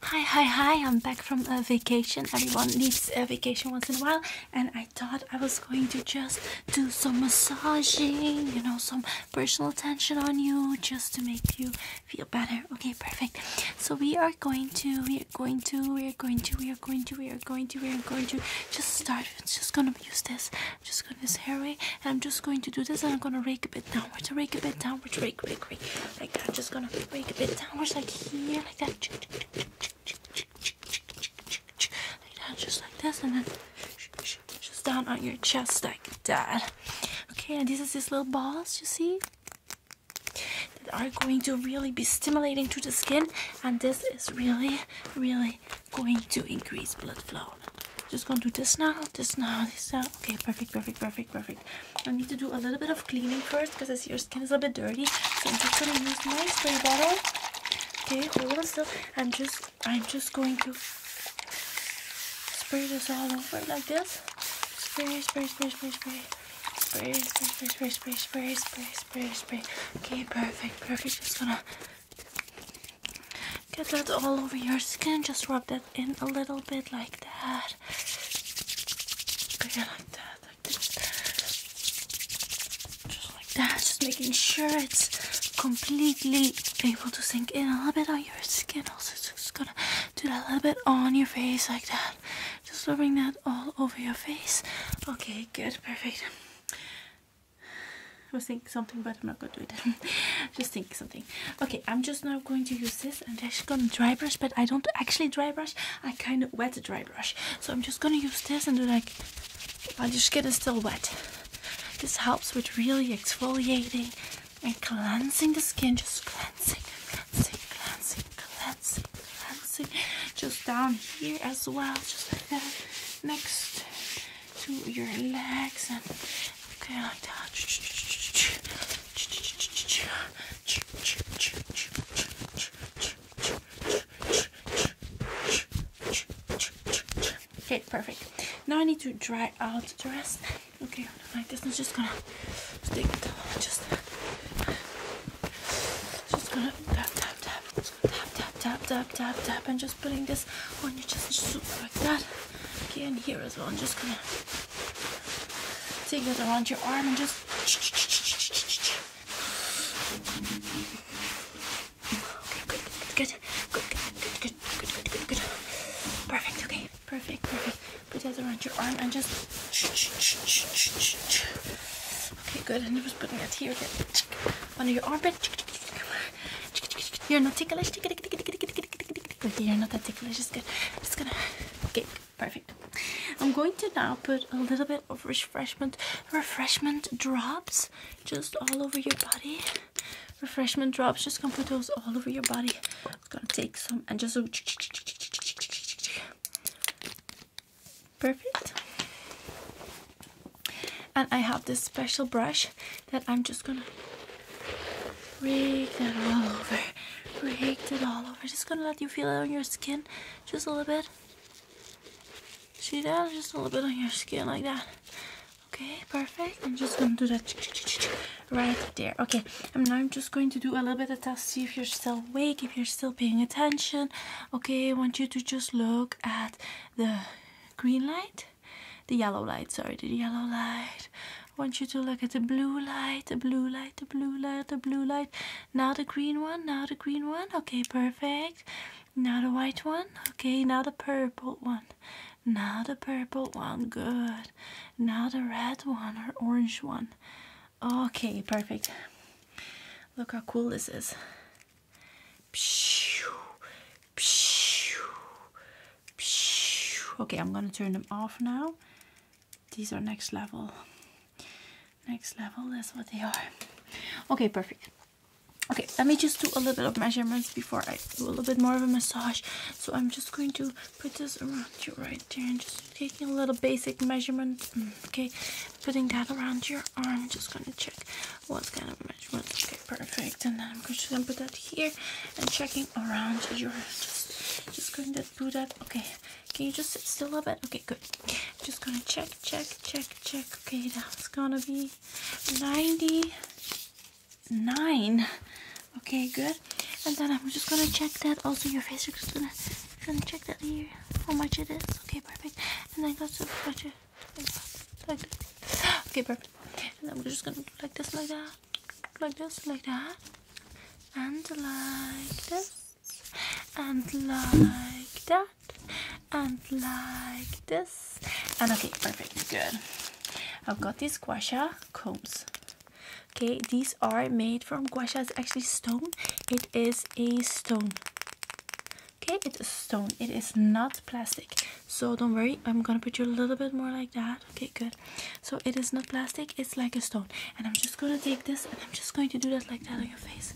Hi, hi, hi, I'm back from a vacation. Everyone needs a vacation once in a while, and I thought I was going to just do some massaging, you know, some personal attention on you just to make you feel better. Okay, perfect. So we are going to, we are going to, we are going to, we are going to, we are going to, we are going to just start. i just gonna use this. just gonna use hairway, and I'm just going to do this and I'm gonna rake a bit downwards, rake a bit downwards, rake, rake, rake. Like that, just gonna break a bit downwards, like here, like that. Like that, just like this, and then just down on your chest, like that. Okay, and this is these little balls, you see? That are going to really be stimulating to the skin, and this is really, really going to increase blood flow. Just gonna do this now, this now, this now, Okay, perfect, perfect, perfect, perfect. I need to do a little bit of cleaning first because I see your skin is a bit dirty. So I'm just gonna use my spray bottle. Okay, hold on still. I'm just I'm just going to spray this all over like this. Spray, spray, spray, spray, spray. Spray, spray, spray, spray, spray, spray, spray, spray, spray. Okay, perfect, perfect. Just gonna Get that all over your skin. Just rub that in a little bit like that. like that, Just like that. Just making sure it's completely able to sink in a little bit on your skin. Also, just gonna do that a little bit on your face like that. Just rubbing that all over your face. Okay, good, perfect. I was thinking something, but I'm not gonna do it. just think something. Okay, I'm just now going to use this. I'm actually gonna dry brush, but I don't actually dry brush. I kind of wet the dry brush. So I'm just gonna use this and do like, while your skin is still wet. This helps with really exfoliating and cleansing the skin. Just cleansing, cleansing, cleansing, cleansing, cleansing. Just down here as well, just like that. Next to your legs and okay like that. Okay, perfect. Now I need to dry out the rest. Okay, like this. I'm just gonna stick it down. Just, just gonna tap, tap, tap, just gonna tap, tap, tap, tap, tap, tap, and just putting this on your chest, just like that. Okay, and here as well. I'm just gonna take that around your arm and just. Okay, good, good, good, good, good, good, good, good, good, Perfect. Okay, perfect, perfect. Put that around your arm and just. Okay, good. And i was just putting that here again. under your armpit. You're not ticklish. you're not that ticklish. It's good. I'm just gonna. Okay, perfect. I'm going to now put a little bit of refreshment, refreshment drops, just all over your body. Refreshment drops. Just gonna put those all over your body. i gonna take some and just. Perfect. And I have this special brush that I'm just gonna rake it all over. Rake it all over. Just gonna let you feel it on your skin just a little bit. See that? Just a little bit on your skin like that. Okay, perfect. I'm just gonna do that right there. Okay, and now I'm just going to do a little bit of test, see if you're still awake, if you're still paying attention. Okay, I want you to just look at the green light the yellow light, sorry, the yellow light. I want you to look at the blue light, the blue light, the blue light, the blue light. Now the green one, now the green one. Okay, perfect. Now the white one. Okay, now the purple one. Now the purple one. Good. Now the red one or orange one. Okay, perfect. Look how cool this is. Pshh. Okay, I'm gonna turn them off now. These are next level. Next level, that's what they are. Okay, perfect. Okay, let me just do a little bit of measurements before I do a little bit more of a massage. So I'm just going to put this around you right there and just taking a little basic measurement. Mm, okay, putting that around your arm. Just gonna check what kind of measurement. Okay, perfect. And then I'm just gonna put that here and checking around your just going to do that. Okay, can you just sit still a bit? Okay, good. Just gonna check, check, check, check. Okay, that's gonna be 99. Okay, good. And then I'm just gonna check that. Also, your face. you just gonna, gonna check that here. How much it is? Okay, perfect. And then go to budget. Okay, perfect. And then we're just gonna like this, like that, like this, like that, and like this, and like that, and like this. And okay, perfect, good. I've got these guasha combs. Okay, these are made from guasha. It's actually stone. It is a stone. Okay, it is stone. It is not plastic. So don't worry. I'm going to put you a little bit more like that. Okay, good. So it is not plastic. It's like a stone. And I'm just going to take this and I'm just going to do that like that on your face.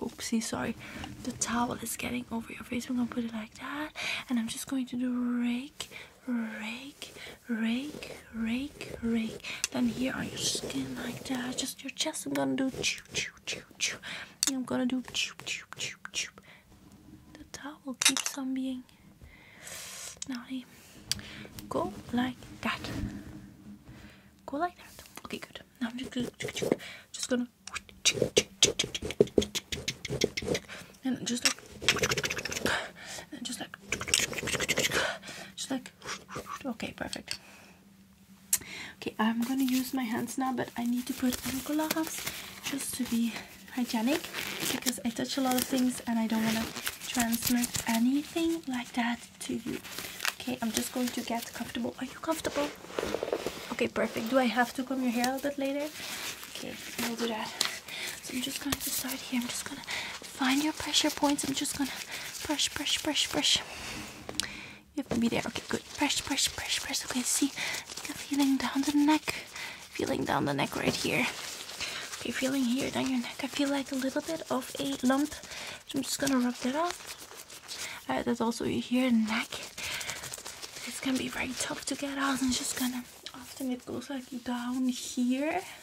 Oopsie, sorry. The towel is getting over your face. I'm going to put it like that. And I'm just going to do rake, rake, rake, rake, rake. Then here on your skin like that, just your chest. I'm gonna do chew, chew, chew, chew. I'm gonna do chew, chew, chew, chew. The towel keeps on being naughty. Go like that. Go like that. Okay, good. Now I'm just gonna, just gonna, and just like, and just like, just like Okay, perfect. Okay, I'm gonna use my hands now, but I need to put on gloves just to be hygienic because I touch a lot of things and I don't want to transmit anything like that to you. Okay, I'm just going to get comfortable. Are you comfortable? Okay, perfect. Do I have to comb your hair a bit later? Okay, we'll do that. So I'm just going to start here. I'm just going to find your pressure points. I'm just going to brush, brush, brush, brush. You have to be there. Okay, good. Brush, brush, brush, brush. Okay, see? Feeling down the neck. Feeling down the neck right here. Okay, feeling here down your neck. I feel like a little bit of a lump. So I'm just going to rub that off. Uh, that's also here, neck. It's going to be very tough to get out. I'm just going to often it goes like down here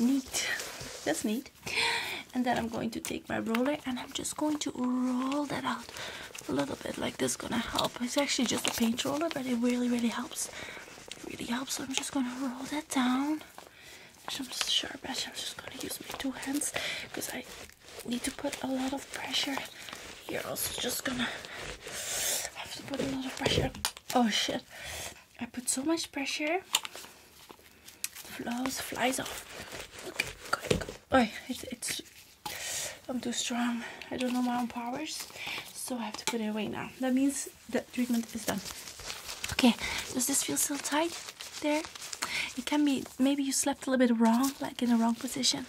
neat that's neat and then I'm going to take my roller and I'm just going to roll that out a little bit like this gonna help it's actually just a paint roller but it really really helps really helps I'm just gonna roll that down I'm just sure I'm just gonna use my two hands because I need to put a lot of pressure here also just gonna have to put a lot of pressure oh shit I put so much pressure. Flows, flies off. Okay, good, good. Oh, it, it's, I'm too strong. I don't know my own powers. So I have to put it away now. That means the treatment is done. Okay, does this feel still tight there? It can be, maybe you slept a little bit wrong, like in the wrong position.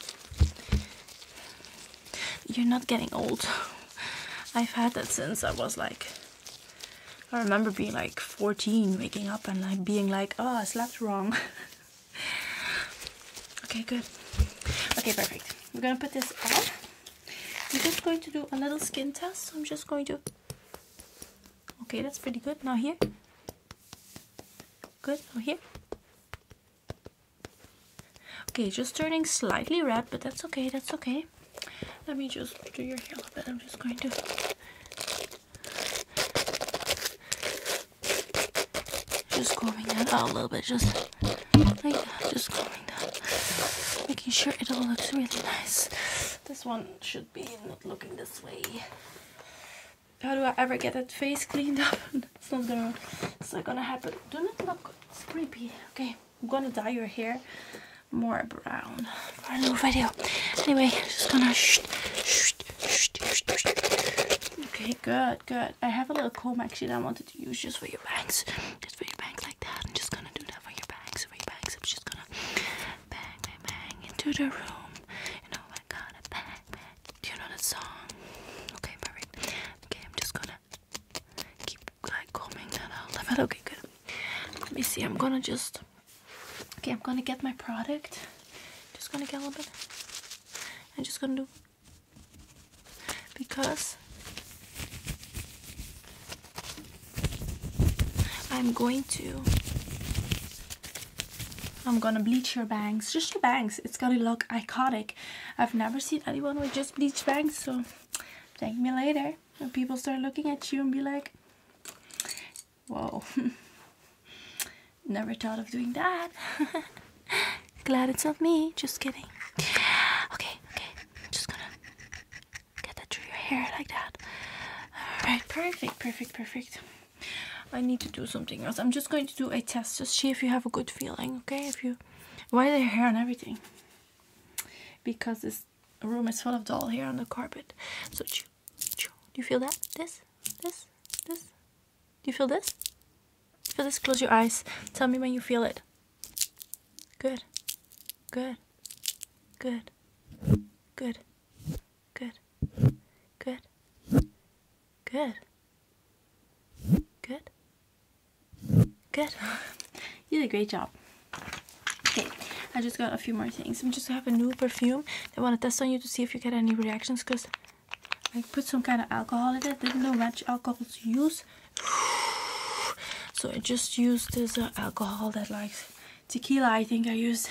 You're not getting old. I've had that since I was like, I remember being like 14, waking up and like being like, oh, I slept wrong. okay, good. Okay, perfect. We're gonna put this on. I'm just going to do a little skin test. So I'm just going to, okay, that's pretty good. Now here, good, now here, Okay, just turning slightly red, but that's okay, that's okay. Let me just do your hair a little bit. I'm just going to just combing that out a little bit, just like that, just combing that, making sure it all looks really nice. This one should be not looking this way. How do I ever get that face cleaned up? it's not gonna, it's not gonna happen. Do not look, it's creepy. Okay. I'm gonna dye your hair more brown for a new video. Anyway, just gonna Okay, good, good. I have a little comb actually that I wanted to use just for your bangs. Just for your bangs like that. I'm just gonna do that for your bangs, bangs. I'm just gonna bang, bang, into the room. You know, I gotta bang, Do you know the song? Okay, perfect. just gonna keep like combing that out a bit. Okay, good. Let me see. I'm gonna just. Okay, I'm gonna get my product. Just gonna get a little bit. I'm just gonna do because I'm going to. I'm gonna bleach your bangs, just your bangs. It's gonna look iconic I've never seen anyone with just bleach bangs so thank me later when people start looking at you and be like whoa never thought of doing that glad it's not me just kidding okay okay I'm just gonna get that through your hair like that all right perfect perfect perfect I need to do something else. I'm just going to do a test. Just see if you have a good feeling, okay? If you why the hair and everything? Because this room is full of doll hair on the carpet. So, do you feel that? This, this, this. Do you feel this? Feel this? Close your eyes. Tell me when you feel it. Good, good, good, good, good, good, Good. Good. Good. you did a great job. Okay, I just got a few more things. I'm just have a new perfume. I want to test on you to see if you get any reactions because I put some kind of alcohol in it. Didn't know much alcohol to use. So I just used this uh, alcohol that like tequila I think I used.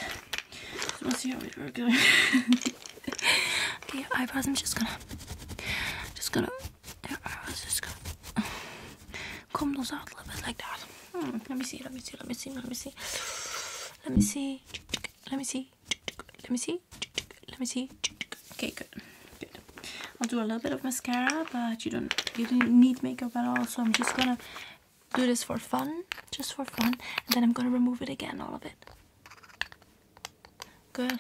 Let's see how it works. okay, eyebrows. I'm just gonna, just gonna, eyebrows. Just gonna comb those out a little bit like that. Hmm, let me see. Let me see. Let me see. Let me see. Let me see. Let me see. Let me see. Let me see. Okay, good. Good. I'll do a little bit of mascara, but you don't you don't need makeup at all. So I'm just gonna do this for fun, just for fun, and then I'm gonna remove it again, all of it. Good.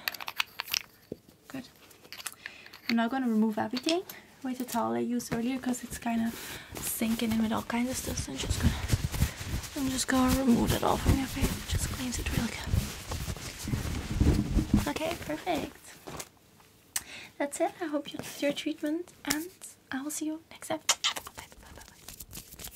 Good. I'm not gonna remove everything with the towel I used earlier because it's kind of sinking in with all kinds of stuff. So I'm just gonna, I'm just gonna remove it all from your face. Just cleans it really good. Okay, perfect. That's it. I hope you liked your treatment, and I will see you next time. Bye, bye,